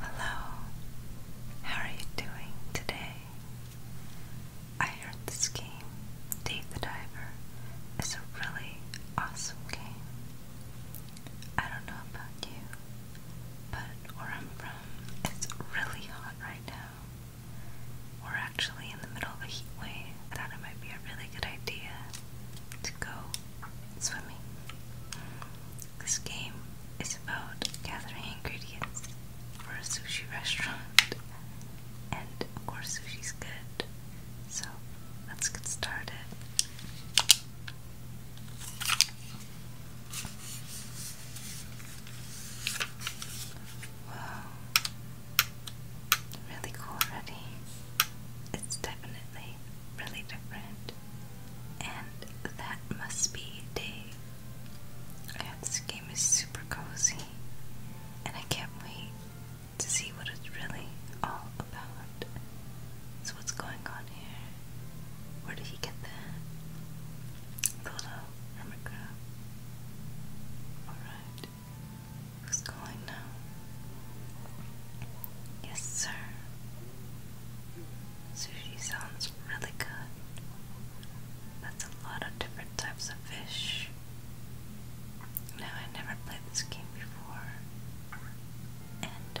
Hello, how are you doing today? I heard this game, Dave the Diver, is a really awesome game. I don't know about you, but where I'm from, it's really hot right now. We're actually in the middle of a heat wave. I thought it might be a really good idea to go swimming. This game is about gathering ingredients for a sushi restaurant, and of course, sushi's good. So let's get started. Wow really cool already. It's definitely really different. And that must be day. this game is super cozy. And I can't wait to see what it's really all about. So what's going on here? Where did he get that? The little hermit crab. Alright. Who's calling now? Yes, sir. Sushi sounds really good. That's a lot of different types of fish. Now, I never played this game before, and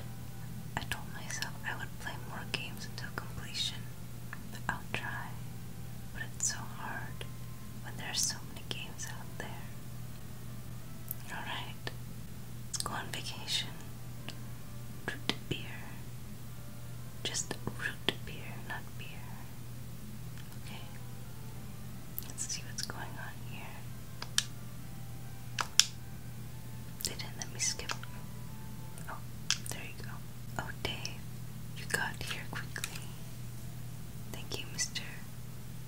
I told myself I would play more games until completion. I'll try, but it's so hard when there are so many games out there. Alright, go on vacation. Root beer. Just root beer, not beer. Okay, let's see what's going on here. didn't let me skip. Oh, there you go. Oh, Dave, you got here quickly. Thank you, Mr.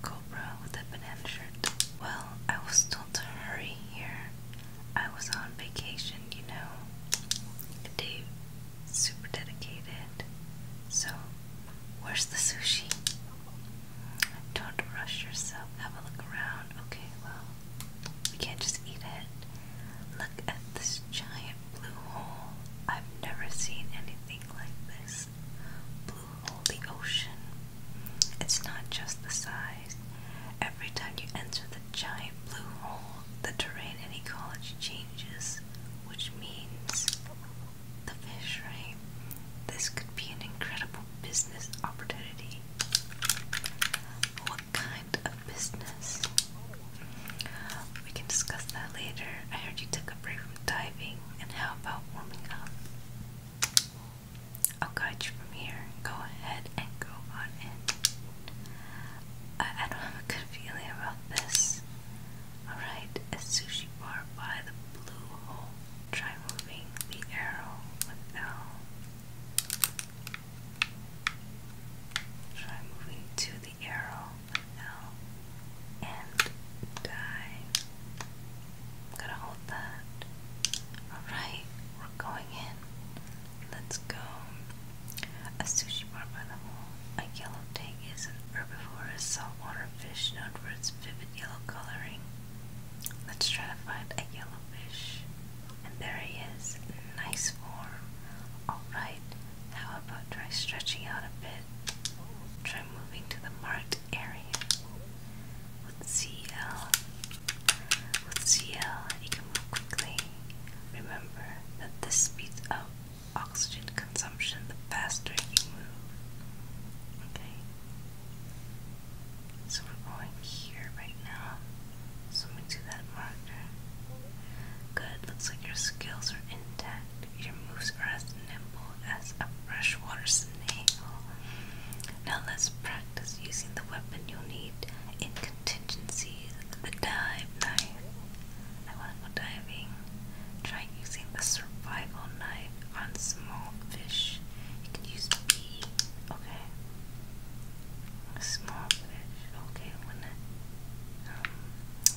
Cobra with the banana shirt. Well, I was told to hurry here. I was on vacation, you know. Dave, super dedicated. So, where's the sushi? Don't rush yourself. Have a look around. Okay, well, we can't just eat it. Look at this giant blue hole. I've never seen anything like this waves blue the ocean. It's not just the size. Every time you enter the giant blue hole, the terrain and ecology changes, which means the fish, This could be an incredible business opportunity. What kind of business? We can discuss that later. I heard you took a break from diving and how about warming up? I'll guide you from here. Go ahead and go on in. I, I don't have a good feeling about this. Alright, a sushi bar by the blue hole. Try moving the arrow with L. Try moving to the arrow now and die. I'm gonna hold that. Alright, we're going in. Let's go. A sushi bar by the hole. A yellow tank is an herbivorous saltwater fish known for its vivid yellow coloring. Let's try to find a yellow fish. And there he is. Nice form. Alright, how about try stretching out a bit? Try after moving to the marked area with CL. With CL, you can move quickly. Remember that this speeds up oxygen consumption the faster you move. Okay? So we're going here right now. So we do that marker. Good, looks like your skills are intact. Your moves are as nimble as a freshwater snail. Now let's practice using the weapon you'll need in contingencies. The dive knife. I want diving. Try using the survival knife on small fish. You can use B. Okay. Small fish. Okay, um,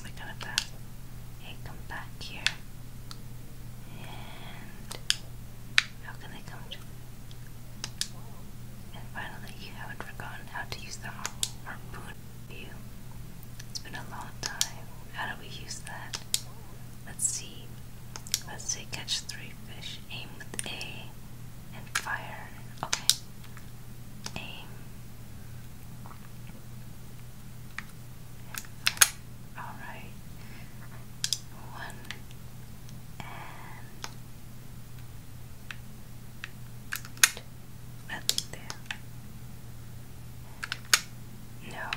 look at that. Okay, come back here. And how can they come And finally you haven't forgotten how to use the harpoon view. It's been a long time. How do we use that? Let's see. Let's say catch three fish. Aim with A and fire. Okay. Aim. Alright. One and two. nothing No.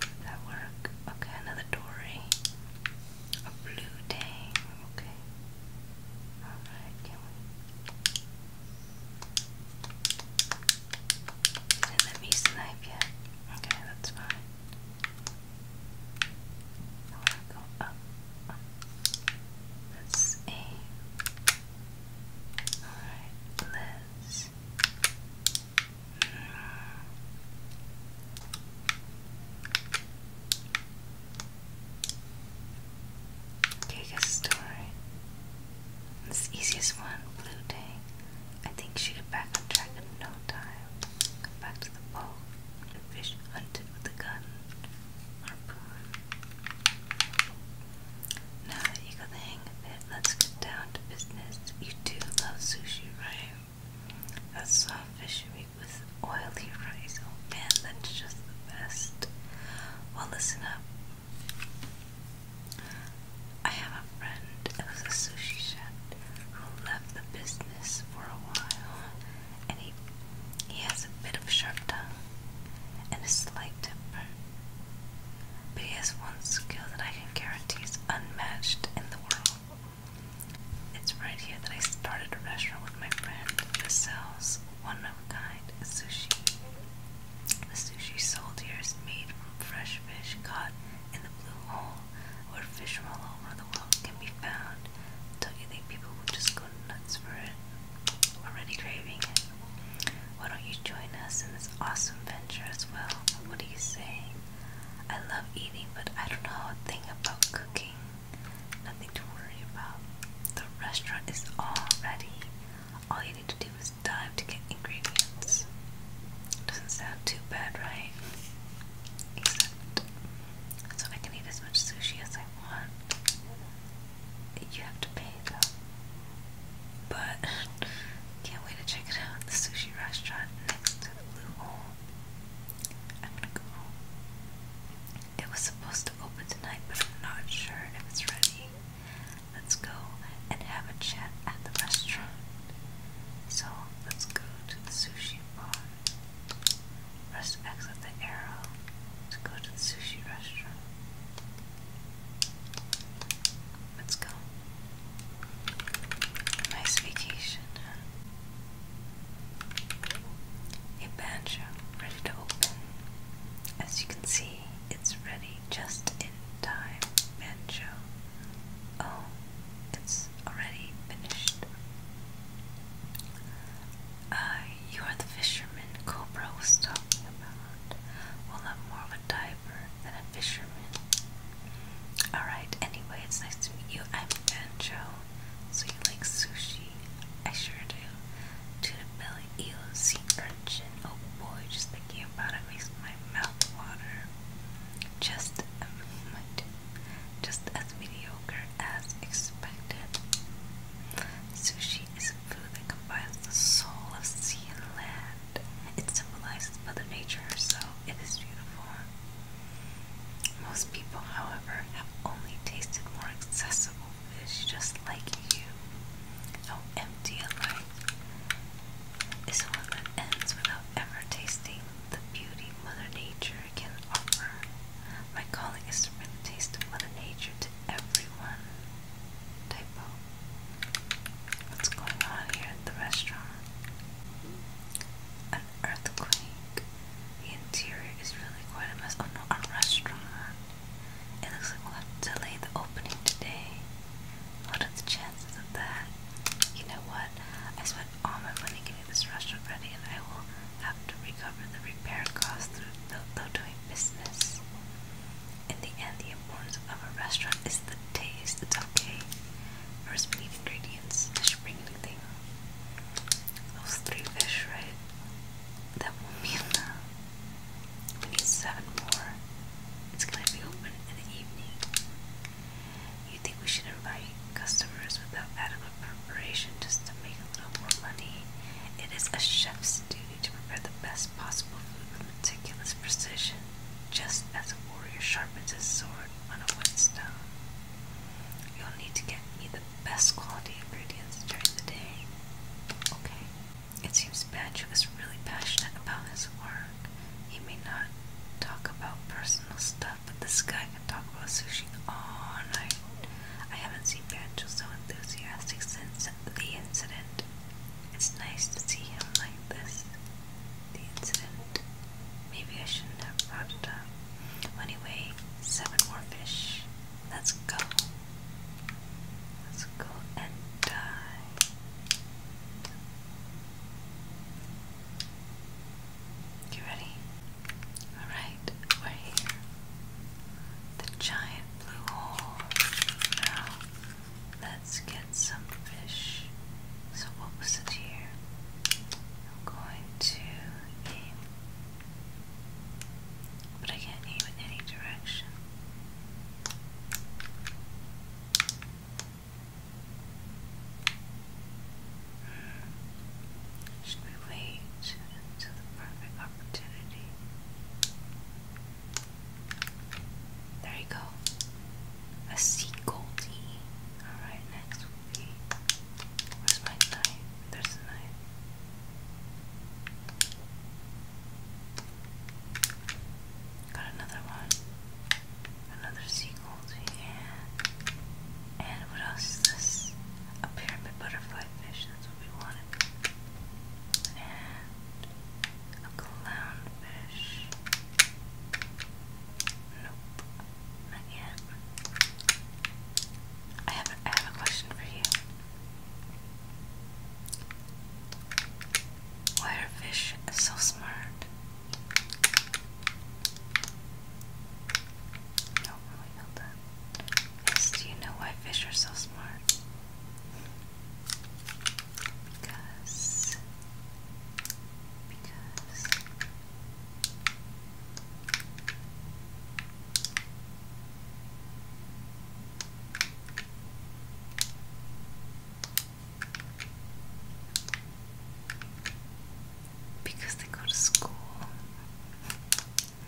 Did that work? Okay, another Dory. A blue tang. Okay let me snipe yet. Okay, that's fine. I want go up. up. let Alright, let's. Mm, Biggest story. This easiest one, Blue Day. I think she got back on track in no time. Got back to the boat. The fish hunted with the gun. Harpoon. Now that you got the hang of it, let's get down to business. You do love sushi, right? That's soft fish meat with rice, oily rice. Oh man, that's just the best. Well, listen up. I have a friend was a sushi chef who left the business for a while, and he he has a bit of sharp tongue and a slight temper. But he has one skill that I can guarantee is unmatched in the world. It's right here that I started a restaurant with my friend that sells one of a kind sushi. The sushi sold here is made from fresh fish caught in the blue hole, where fish from all over the world can be found. Don't you think people will just go nuts for it? Already craving it. Why don't you join us in this awesome venture as well? What do you say? I love eating, but I don't know a thing about cooking nothing to worry about. The restaurant is all ready. All you need to do is dive to get ingredients. Doesn't sound too bad, right? Except, so I can eat as much sushi as I want. You have to pay though. But can't wait to check it out. The sushi restaurant next to the blue hole. I'm gonna go it was supposed to open tonight, but I'm not sure if it's ready. Let's go and have a chat at the restaurant. So let's go to the sushi bar. Press X with the arrow to go to the sushi restaurant. Let's go. Nice vacation. A banjo ready to open. As you can see, it's ready just in time. Banjo. Oh, it's already finished. Uh, you are the fisherman Cobra was talking about. Well, I'm more of a diver than a fisherman. Alright, anyway, it's nice to meet you. I'm Banjo. So you like sushi? I sure do. Tuna belly, eel, sea urchin. Oh boy, just thinking about it makes my mouth water. Just, um, just as mediocre as expected. Sushi is a food that combines the soul of sea and land. It symbolizes Mother Nature so It is beautiful. Most people, however, have only tasted more accessible is just like you. How empty life is one that ends without ever tasting the beauty Mother Nature can offer. My calling is to bring the taste of Mother Nature to everyone. Typo. What's going on here at the restaurant? An earthquake. The interior is really quite a mess. Oh no, a restaurant. It looks like we'll have to delay the opening today. What are the chances of that? You know what? I spent all my money getting this restaurant ready, and I will have to recover the repair costs through the though doing business. In the end, the importance of a restaurant is the taste. It's okay. First, we need ingredients. I should bring those three fish, right? That will mean we need seven more. It's gonna be open in the evening. You think we should invite customers without adequate preparation just to make a little more money? It is a chef's duty to prepare the best possible food with meticulous precision, just as a warrior sharpens his sword on a whetstone. You'll need to get me the best quality ingredients during the day. Okay. It seems Badger was really passionate about his work. He may not talk about personal stuff, but this guy can talk about sushi all night. I haven't seen Banjo so enthusiastic since the incident. It's nice to see him like this. The incident. Maybe I shouldn't have brought it up. Anyway, seven more fish. Let's go. Let's go and die. You ready? Alright, we're here. The giant blue hole. Now, let's get some fish. So, what was it here? going to aim but I can't aim in any direction. Hmm. Should wait until the perfect opportunity? There you go. A goldie. Alright, next Where's my knife? There's a knife. Got another one. Another seagull yeah. And what else is this? A pyramid butterfly fish, that's what we wanted. And a clownfish. Nope. Not I have a question for you. Why are fish so smart? No, we know that. do you know why fish are so smart? Because, because, because they go to school.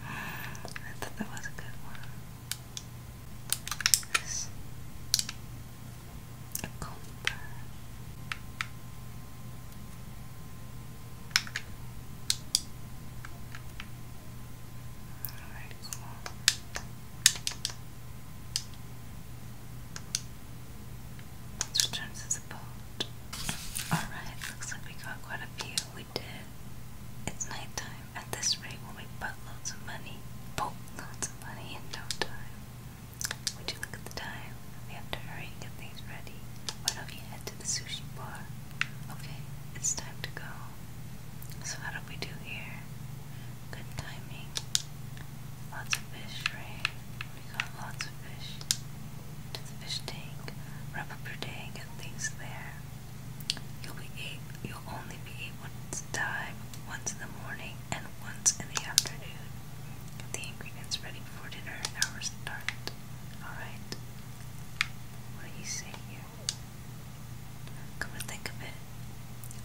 I thought that was a good one. This. Alright, cool. Let's return to the Alright, looks like we got quite a few. We did. It's nighttime. At this rate, we'll make buttloads of money. Boatloads of money in no time. Would you look at the time? We have to hurry get things ready. Why do you to the sushi bar. Okay, it's time to go. So, how do we do here? Good timing. Lots of fish, right? We got lots of fish. To the fish tank. Wrap up your tank and things there. You'll be able, you'll only be able to dive once in the morning and once in the afternoon. Get the ingredients ready before dinner and our start. Alright. What are you saying here? Come to think of it,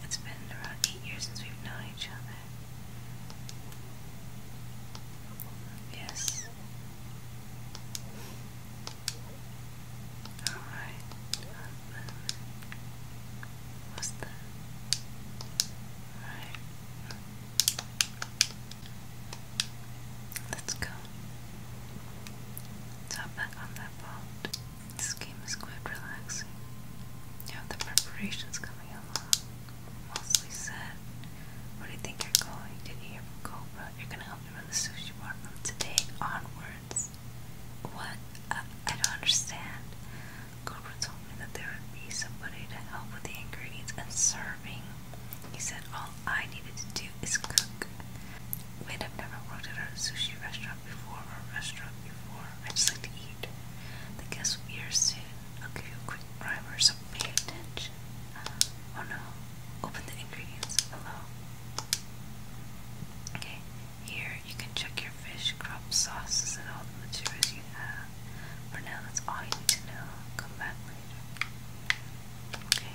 it's been around eight years since we've known each other. Yes. Alright. What's that? Alright. Let's go. So back on that boat. This game is quite relaxing. You the preparations coming along. Mostly set. Where do you think you're going? to hear from Cobra? You're gonna help me run the sushi bar from today onwards. What? I don't understand. Cobra told me that there would be somebody to help with the ingredients and serve. He said all I needed to do is cook. Wait, I've never worked at a sushi restaurant before a restaurant before. I just like to eat. The guess will be here soon. I'll give you a quick primer, so pay attention. Oh no. Open the ingredients below. Okay, here you can check your fish, crop sauces, and all the materials you have. For now, that's all you need to know. Come back Okay.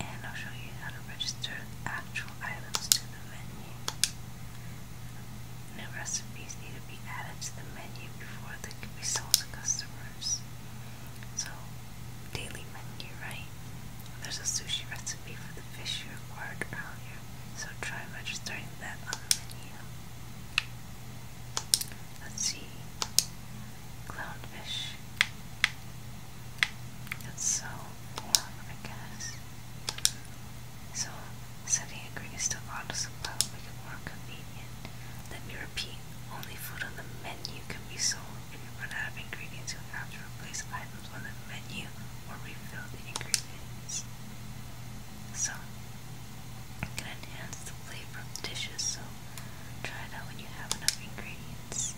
And I'll show you how to register actual items to the menu. New recipes need to be added to the menu before they can be sold to customers. So, daily menu, right? There's a sushi recipe for the fish you acquired earlier, so try registering that on the menu. Let's see. Clownfish. That's so warm, I guess. So, setting a green auto supply will it more convenient. Let me repeat, only food on the menu can be sold. If you run out of ingredients, you'll have to replace items on the menu or refill the ingredients. So, it can enhance the flavor of dishes, so try it out when you have enough ingredients.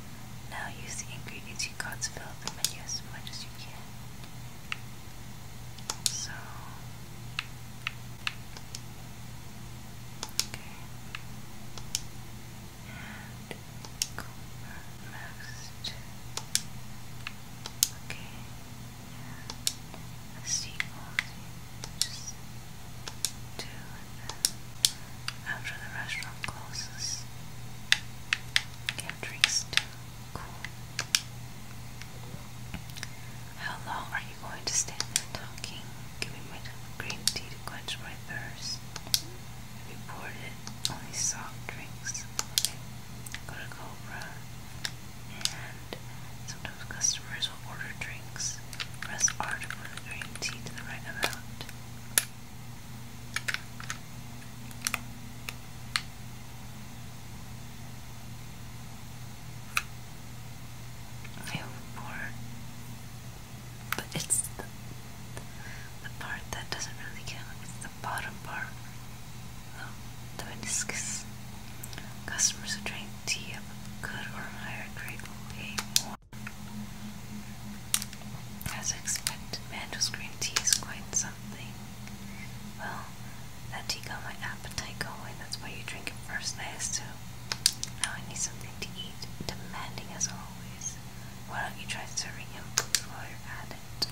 Now use the ingredients you got to fill up the menu as much as you can. So, okay, and go next. Okay, that's the just two after the restaurant closes. Get drinks too. Cool. How long are you going to stand there talking? Giving me green tea to quench my thirst. We poured it, only soft drinks. Cobra and sometimes customers will order drinks. Press R to the green tea to the right amount. I overboard, but it's the, the part that doesn't really count. It's the bottom part. Damascus. Customers who drank tea of a good or higher grade will pay more. As expected, Mandel's green tea is quite something. Well, that tea got my appetite going. That's why you drink it first. I So Now I need something to eat. Demanding as always. Why don't you try serving him while you're at it?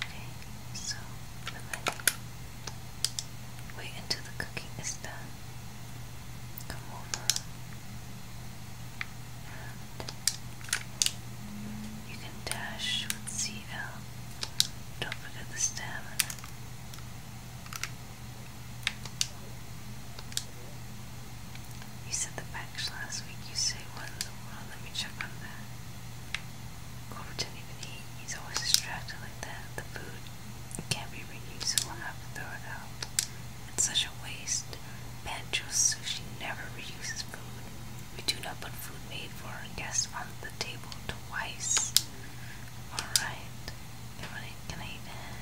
Okay, so the menu. Wait until the cooking is done. Come over. you can dash with CL. Don't forget the stamina. You said the batch last week. You say what in the world? Let me check on that. Cloverton even he, he's always distracted like that. The food can't be reused, so we'll have to throw it out. It's such a waste. Banjo Sushi never reuses food. We do not put food made for our guests on the table twice. Alright. Everybody, can I eat that?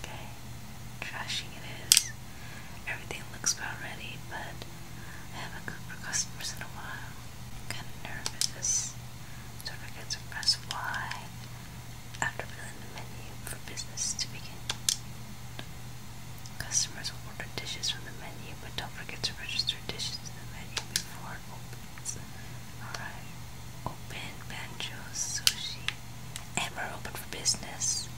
Okay. Trashing it is. Everything looks about ready, but I haven't cooked for customers in a while kind of nervous. So I forget to press Y after filling the menu for business to begin. Customers will order dishes from the menu, but don't forget to register dishes in the menu before it opens. Alright. Open banjos, sushi. And we're open for business.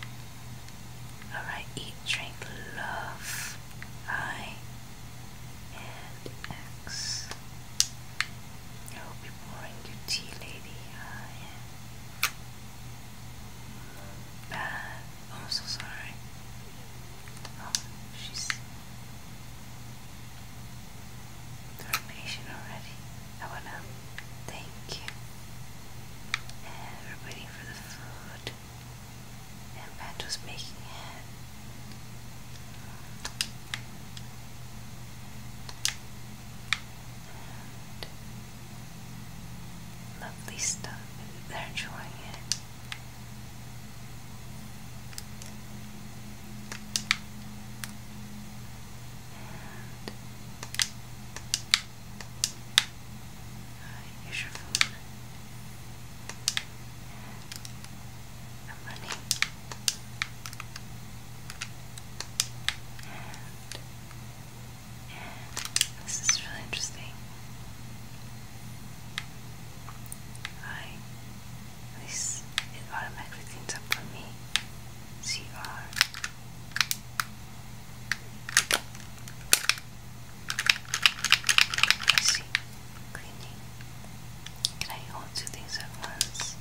Alright, eat, drink, love. Hi and X. I hope you're your tea, lady. I am bad. I'm oh, so sorry. Oh, she's third already. I wanna thank you. And we're waiting for the food and Pat was making it. lovely stuff. They're enjoying it. Here's your food. money. this is really interesting. I at it automatically cleans up for me. CR I see. Cleaning. Can I hold two things at once?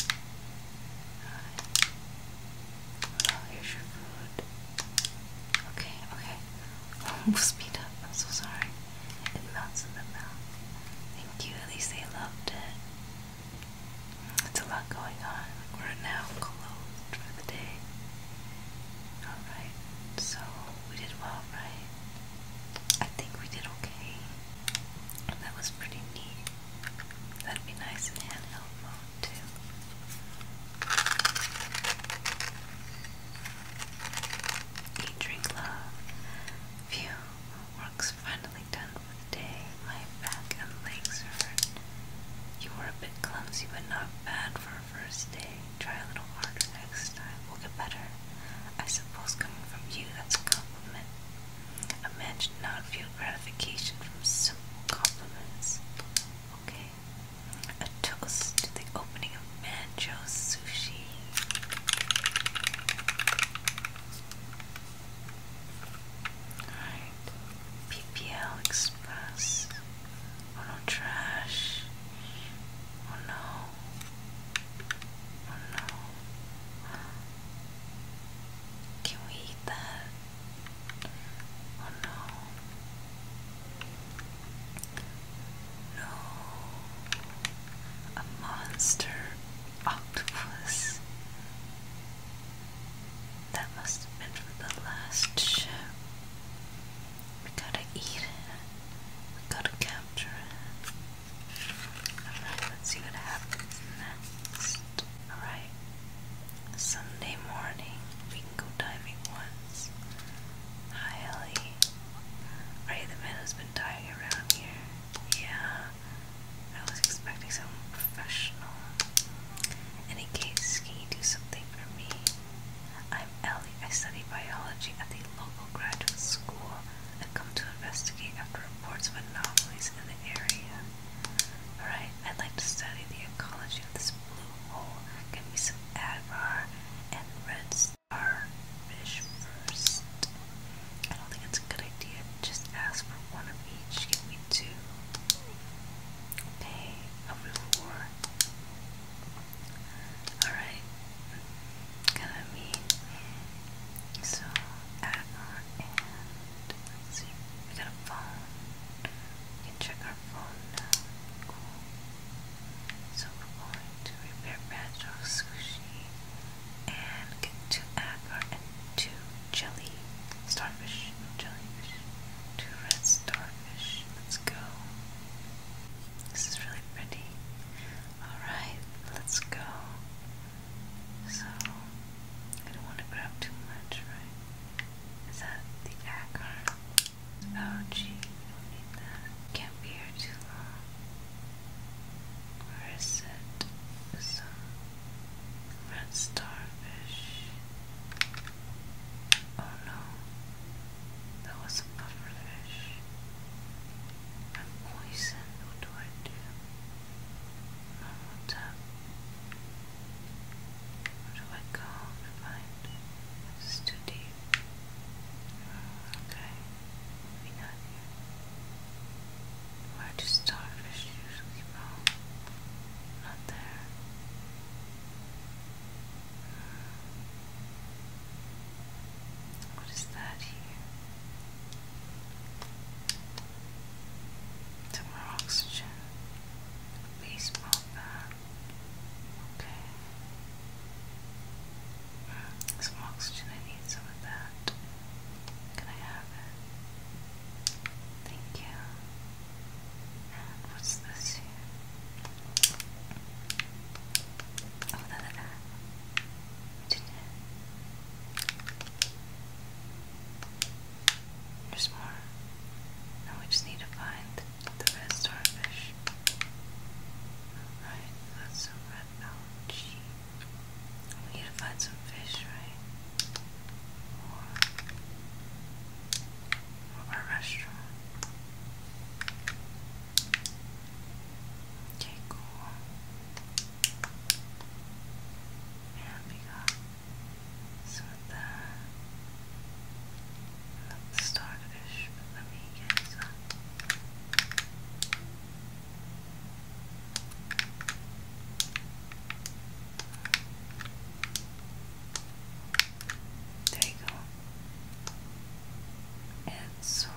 Alright. Uh, well, here's your food. Okay, okay. we'll speed up. I'm so sorry. It melts in the mouth. Thank you. At least they loved it. It's a lot going on. we now closed for the day. Alright, so we did well, right? I think we did okay. That was pretty neat. That'd be nice in handheld mode too. drink, love. Phew, work's finally done for the day. My back and legs hurt. You were a bit clumsy, but not bad for a first day. Try a little harder next time. We'll get better. I suppose coming from you, that's a compliment. A man should not feel gratification from simple compliments. Okay. A toast to the opening of Mancho Sushi. Alright. PPL Express. Oh no, trash. Oh no. Oh no. Can we eat that? Oh no. No. A monster octopus. That must have been from the last ship. We gotta eat. We gotta capture it. Alright, let's see what happens next. Alright. Sunday morning, we can go diving once. Hi, Ellie. Right, the meadow's been dying around here. Yeah, I was expecting someone professional. In any case, can do something for me? I'm Ellie. I study biology at the local graduate school and come to investigate after reports of anomalies in the area. Alright, I'd like to study the ecology of this blue hole. Give me some Advar and red starfish first. I don't think it's a good idea. Just ask for one of each. Give me two. Okay, a reward. Alright, gonna be so add and we got a phone. We can check our phone now. Cool. So we're going to repair badge of and get two agar and two jelly starfish. Jellyfish. Two red starfish. Let's go. This is really pretty. Alright, let's go. So, I don't want to grab too much, right? Is that the acorn? Oh, gee, don't need that. Can't be here too long. Where is it? Some red starfish. Oh no. That was a pufferfish. I'm poisoned, what do I do? Normal tap. Where do I go to find? This is too deep. not here. Where do starfish usually grow? Not there. What is that here? Some more oxygen. Baseball bat. Uh, okay. some oxygen. I need some of that. Can I have it? Thank you. what's this here? Oh, look that. There's more. Now we just need to find the red starfish. Alright, that's some red algae. We need to find some fish, right? Or, or restaurant. Okay, cool. And we got some of the, not the starfish, but let me get some. Okay. There you go. And so,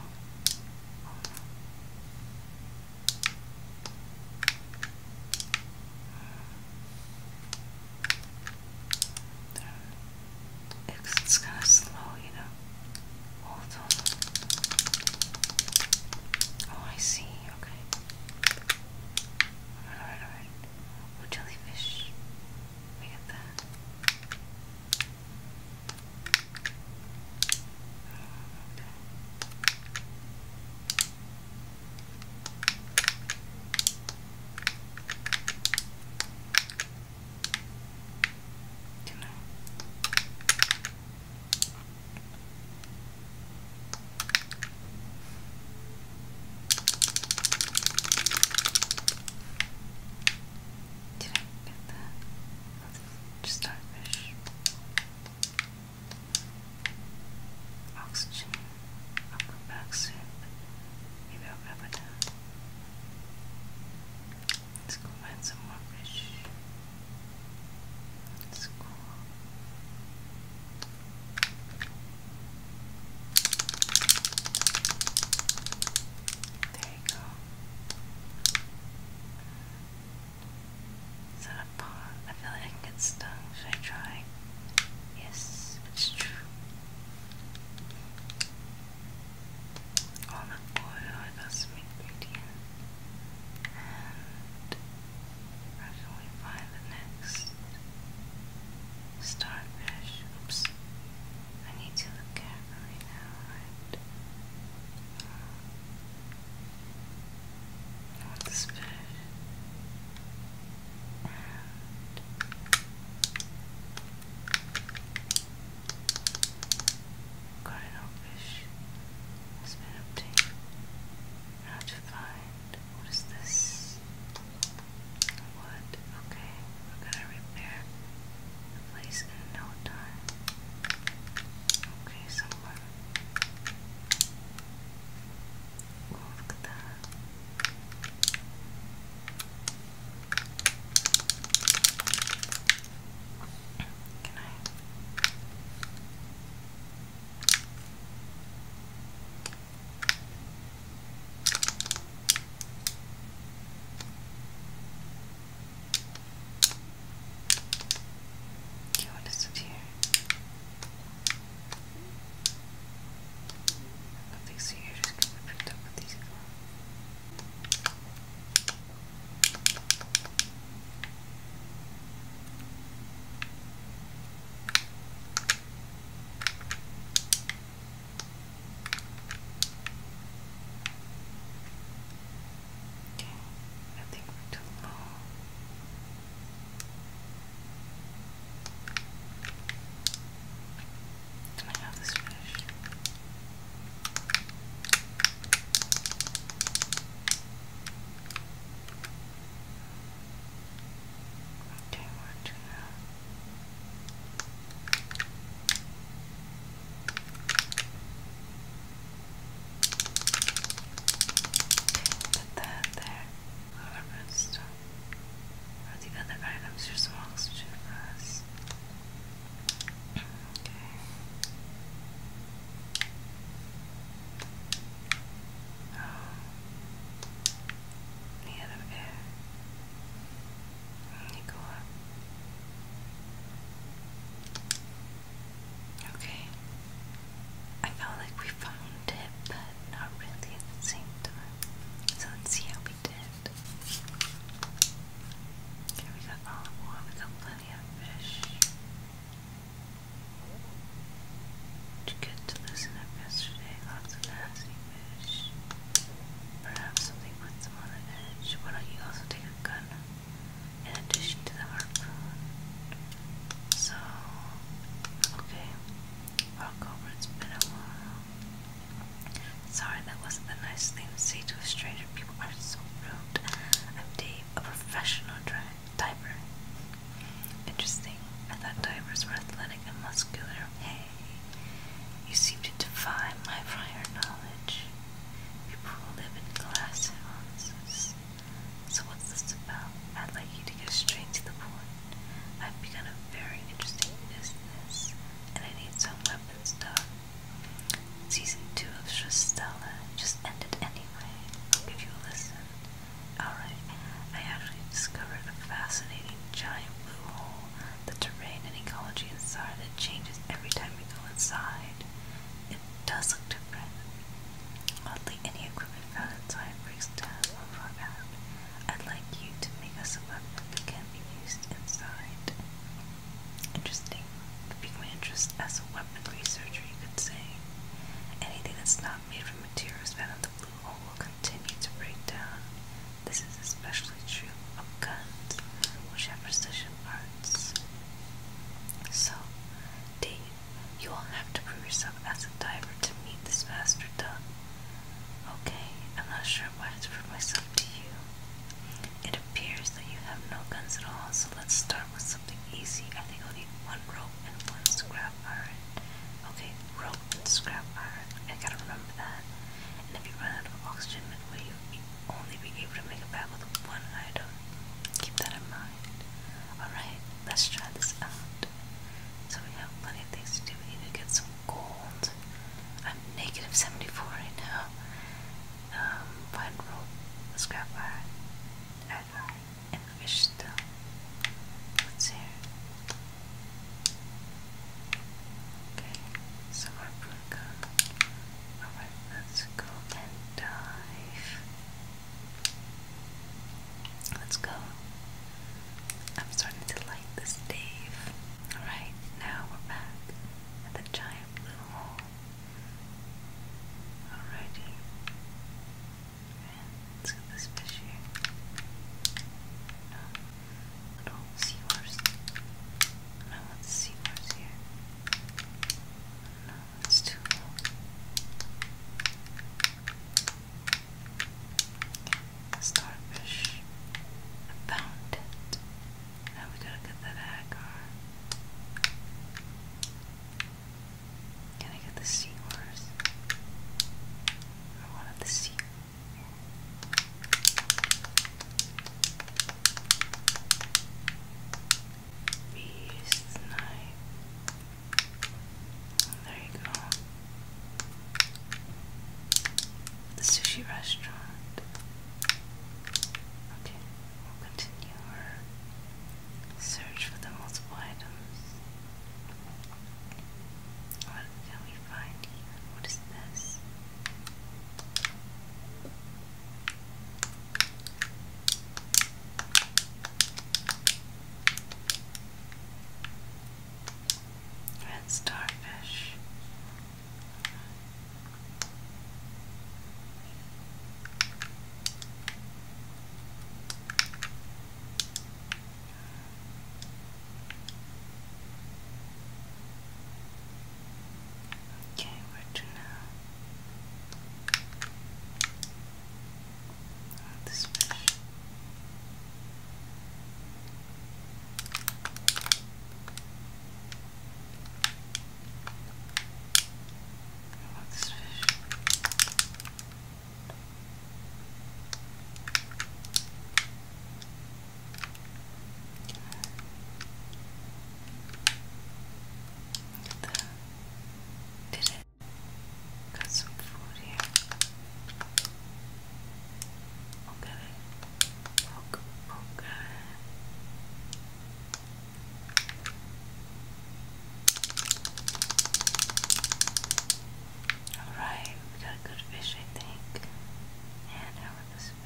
hold uh, on. kind of slow, you know. Hold on. Oh, I see. Okay. Alright, alright. Or jellyfish. Look at that. Okay. Dunno. Did I get that? Just starfish. Oxygen. I'll go back Maybe I'll grab it Let's go find some more fish. Let's go. There you go. Is that a paw? I feel like I can get stung. Should I try? Yes, it's true. Olive oil, I got some And where can we find the next? starfish. Oops. I need to look at now, right? cardinal fish has been to find what is this? Wood. Okay, we're gonna repair the place in no time. Okay, someone. Oh, look at that. Can I? Do you want to sit here? I think so you're just gonna be picked up with these gloves. Okay, I too low. Can I have this fish? Okay, one, put that there. All the the other items are some oxygen for us. Okay. Oh made of air. And you go up. Okay. I felt like we found it, but not really at the same time. So let's see how we did. Okay, we got all of one, we got plenty of fish. It's good to loosen up yesterday, lots of nasty fish. Perhaps something might them on the edge. Why don't you also take a gun in addition to the harpoon? So, okay. Rock over, it's been a while. Sorry, that wasn't the nice thing to say to a stranger. People are so rude. I'm Dave, a professional diver. Interesting. I thought divers were athletic and muscular. Hey, you seem to defy my prior knowledge. People who live in glass houses. So what's this about? I'd like you to get straight to the point. I've begun a very interesting business, and I need some weapons, stuff. Season 2 of Shastella just ended anyway. I'll give you a listen. Alright, I actually discovered a fascinating giant blue hole. The terrain and ecology inside it changes every time we go inside. It does look different. Oddly, any equipment found inside breaks down or run out. I'd like you to make us a weapon that can be used inside. Interesting. It piqued my interest as a weapon researcher, you could say. Anything that's not made from materials found in the or will continue to break down. This is especially true of guns, which have precision parts. So, Dave, you will have to prove yourself as a diver to meet this master done. Okay, I'm not sure what to prove myself to you. It appears that you have no guns at all, so let's start with something easy. I think I'll need one rope and one scrap iron. Okay, rope scrap iron. I gotta remember that. And if you run out of oxygen you'll only be able to make a bag with one item. Keep that in mind. Alright, let's try this out. So we have plenty of things to do. We need to get some gold. I'm negative 74 right now. Um, find rope, scrap iron, iron, fish uh, still. What's Okay, so more Bruco. Alright, let's go and dive. Let's go. I'm starting to like this Dave. Alright, now we're back at the giant blue hole. Alrighty. Let's get this fish here. No, little seahorse. No, let's seahorse here. No, that's too low. Starfish. I found it. Now we gotta get that agar. Can I get the seahorse? Or one of the sea? Beast knife. Oh, there you go. The sushi restaurant. Okay, we'll continue our search for the multiple items. What can we find here? What is this? Red starfish. Okay, where to now? Oh, this way. this fish. Look at Did it? Got some food here. I'll get Alright, we got a good fish, I think. And how about this fish?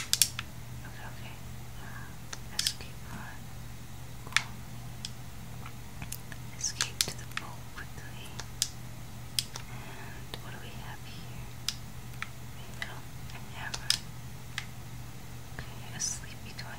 Okay, okay. Uh, let Escape to the boat quickly. And what do we have here? A Okay, sleepy toy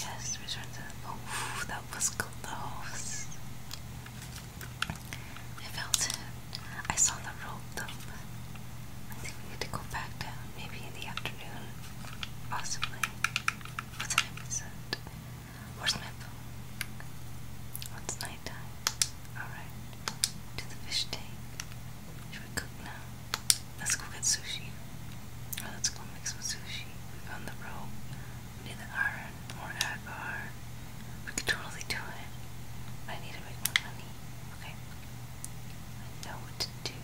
Yes, return Oh, that was close. I felt it. I saw the rope up. I think we need to go back down, maybe in the afternoon. Possibly. What time is it? Where's my phone? Oh, it's nighttime. Alright. To the fish tank. Should we cook now? Let's go get sushi. Oh, let's go make some sushi. We found the rope. We need the iron or agar. We could totally do it. I need to make more money. Okay. I know what to do.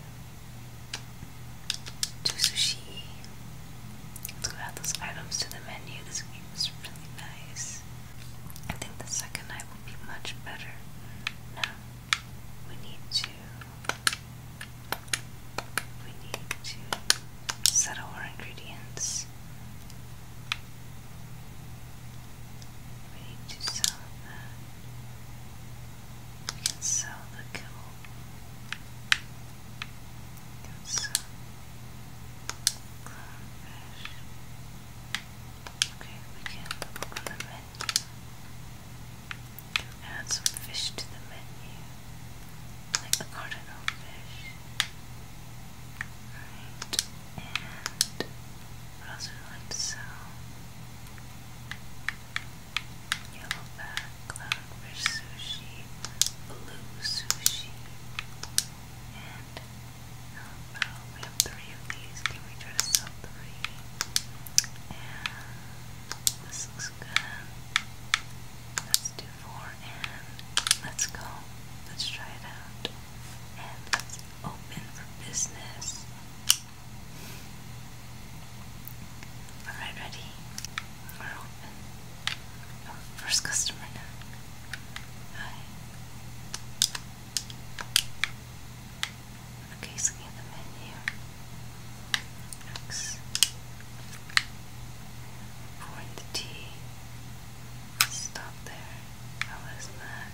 Do sushi. Let's go add those items to the menu. This game is really nice. I think the second night will be much better. Now we need to we need to settle our ingredients. We need to sell that. We can sell the kill. We can sell clownfish. Okay, we can look the menu. Add some fish to the menu, like the cardinal fish. Right, and what else would I to sell? Yellowback, clownfish sushi, blue sushi, and how about we have the three of Can we try to three? And this looks good. Let's do four and let's go. Let's try it out. And let's open for business. Alright, ready? We're open. first customer now. Hi. Okay, scan the menu. X. Pour the tea. Stop there. How is that?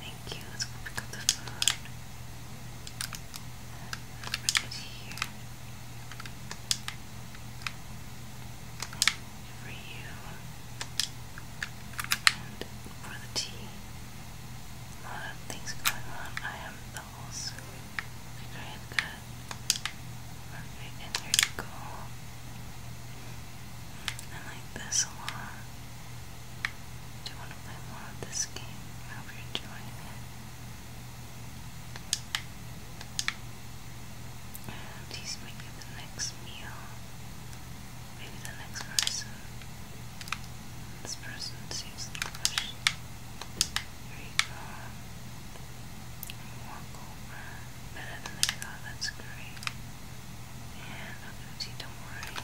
Thank you. Let's go pick up the food. Let's bring For you. And for the tea. A lot of things going on. I have those. Okay, good. Perfect, and there you go. I like this a lot. Do you want to play more of this game? I hope you're enjoying it. And he's making the next meal. Maybe the next person. This person sees the question. you go. Walk over. Better than they thought. That's great. And I'll give to you. Don't worry.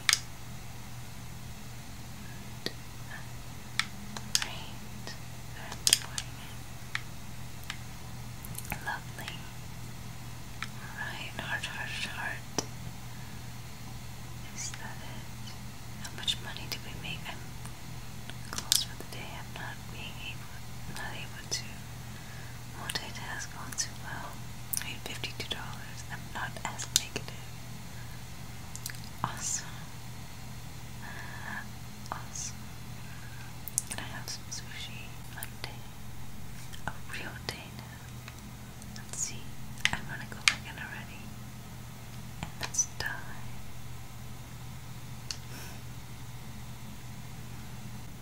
And, uh, Lovely. Alright, heart, heart, heart. Is that it? How much money did we make? I'm close for the day. I'm not being able, not able to multitask all too well. I made fifty-two dollars. I'm not as negative. Awesome. Uh, awesome. Can I have some sushi day? A real day now. Let's see. I'm to go back already. let's die.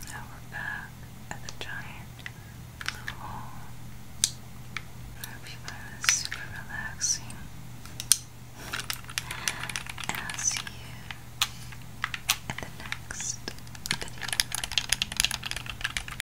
Now we're back at the giant blue hole. I super relaxing. And you in the next